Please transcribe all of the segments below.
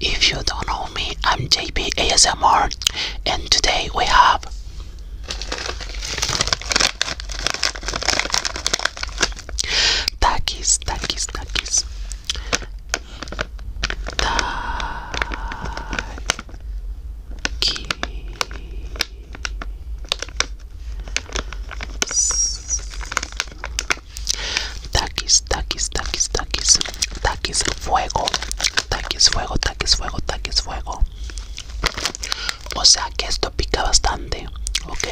If you don't know me, I'm JP ASMR and today we have Takis, Takis, Takis. Takis. Takis, takis, takis, takis. Takis, fuego. Takis, fuego, takis, fuego, takis, fuego. O sea que esto pica bastante, ok.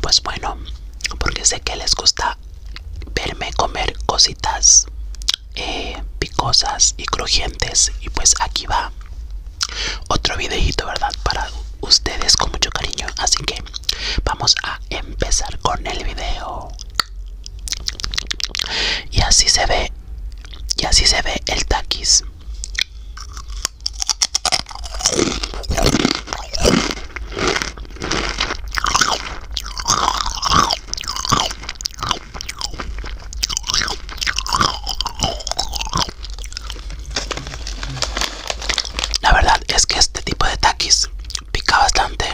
Pues bueno, porque sé que les gusta verme comer cositas eh, picosas y crujientes. Y pues aquí va otro videito verdad para ustedes con mucho cariño así que vamos a empezar con el video y así se ve y así se ve el taquis la verdad es que este tipo de taquis pica bastante.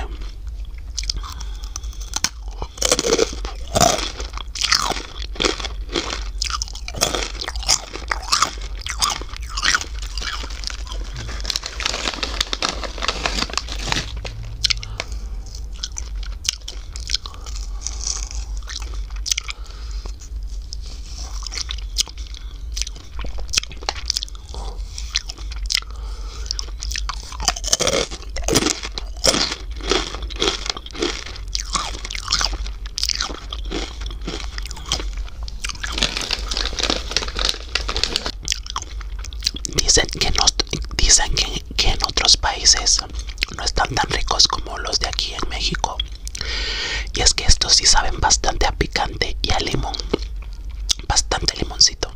Dicen que nos dicen que que en otros países no están tan ricos como los de aquí en México. Y es que estos sí saben bastante a picante y a limón. Bastante limoncito.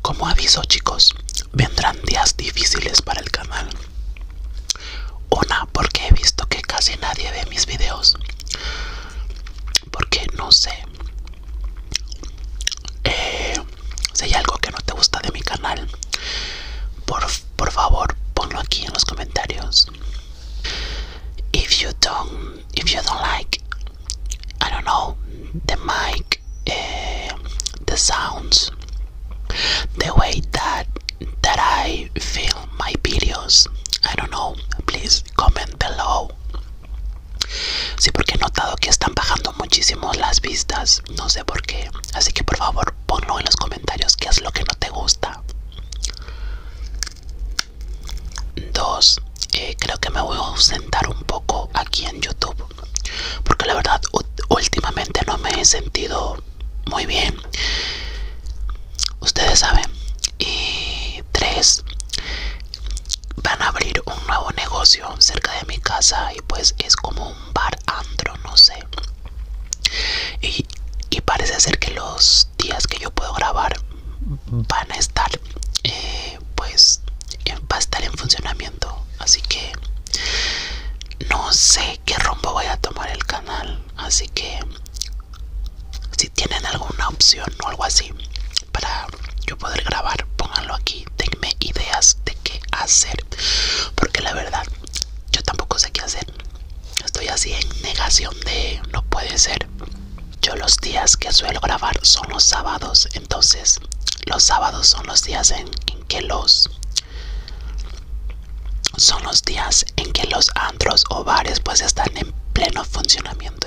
Como aviso chicos, vendrán días difíciles para el canal. Una, porque he visto que casi nadie ve mis videos porque no sé eh, si hay algo que no te gusta de mi canal por, favor ponlo aquí en los comentarios if you don't if you don't like I don't know the mic eh, the sounds the way that that I film my videos I don't know please comment below Sí, porque he notado que están bajando muchísimo las vistas. No sé por qué. Así que por favor ponlo en los comentarios qué es lo que no te gusta. Dos, eh, creo que me voy a ausentar un poco aquí en YouTube. Porque la verdad últimamente no me he sentido muy bien. Ustedes saben. Y tres, van a abrir un nuevo negocio cerca de mi casa y pues es como un bar andro, no sé. Y, parece ser que los días que yo puedo grabar van a estar, eh, pues, va a estar en funcionamiento. Así que no sé qué rumbo voy a tomar el canal. Así que si tienen alguna opción o algo así para yo poder grabar pónganlo aquí denme ideas de qué hacer porque la verdad yo tampoco sé qué hacer estoy así en negación de no puede ser yo los días que suelo grabar son los sábados entonces los sábados son los días en, que los son los días en que los andros o bares pues están en pleno funcionamiento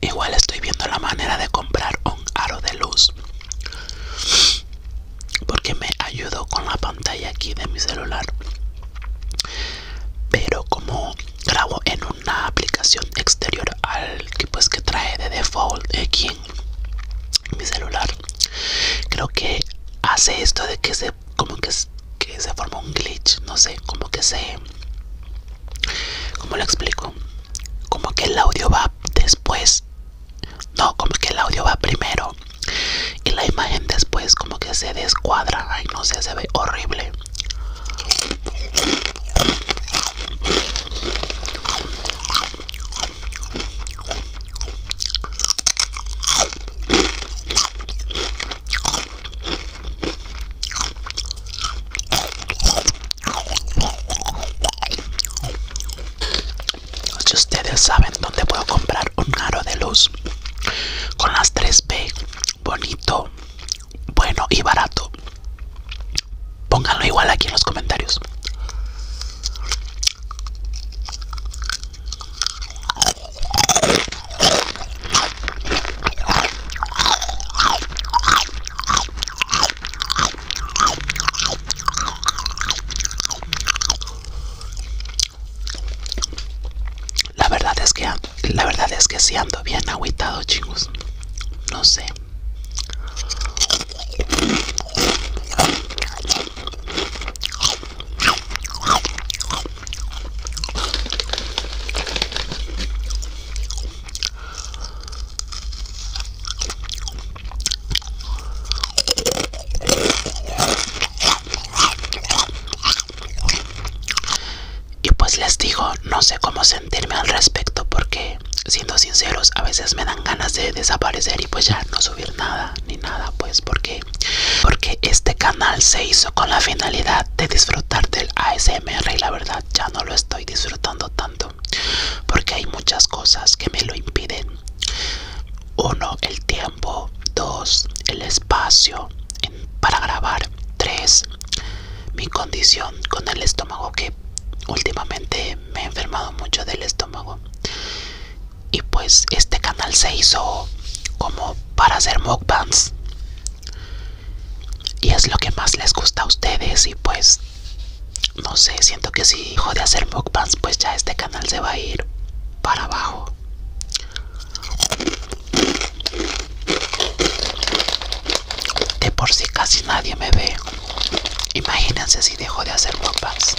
Igual estoy viendo la manera de comprar un aro de luz porque me ayudó con la pantalla aquí de mi celular pero como grabo en una aplicación exterior al que pues que trae de default aquí en mi celular creo que hace esto de que se como que, se forma un glitch no sé como que se como lo explico como que el audio va después no como que el audio va primero y la imagen después como que se descuadra ay no sé se ve horrible si ustedes saben dónde puedo comprar un aro de luz con las 3B bonito, bueno y barato? Pónganlo igual aquí en los comentarios. La verdad es que la verdad es que sí ando bien agüitado, chicos. No sé. Y pues les digo, no sé cómo sentirme al respecto porque, siendo sinceros, a veces me dan ganas de desaparecer y pues ya no subir nada ni nada, pues porque, porque este canal se hizo con la finalidad de disfrutar del ASMR y la verdad ya no lo estoy disfrutando tanto porque hay muchas cosas que me lo impiden. Uno, el tiempo. Dos, el espacio para grabar. tres Mi condición con el estómago que últimamente me he enfermado mucho del estómago. Y pues este canal se hizo como para hacer mukbangs. Y es lo que más les gusta a ustedes y pues no sé, siento que si Hijo de hacer mukbangs pues ya este canal se va a ir para abajo. De por si casi nadie me ve. Imagínense si dejo de hacer guapas.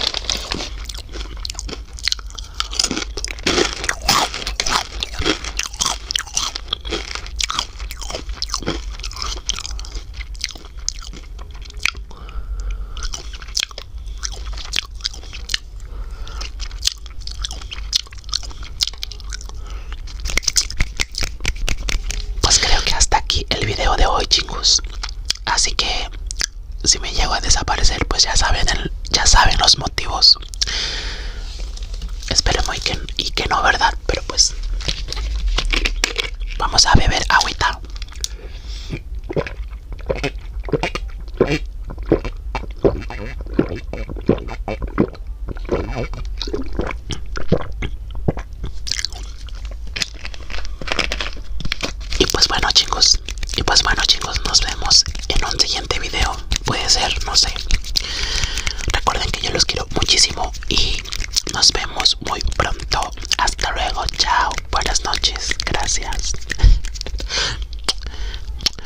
Pues creo que hasta aquí el video de hoy, chicos. Así que si me llego a desaparecer, pues ya saben, los motivos. Esperemos y que, y que no, ¿verdad? Pero pues vamos a beber agüita. Y pues bueno chicos, y pues bueno chicos, nos vemos en un siguiente video. Puede ser, no sé. Recuerden que yo los quiero muchísimo y nos vemos muy pronto. Hasta luego, chao. Buenas noches, gracias.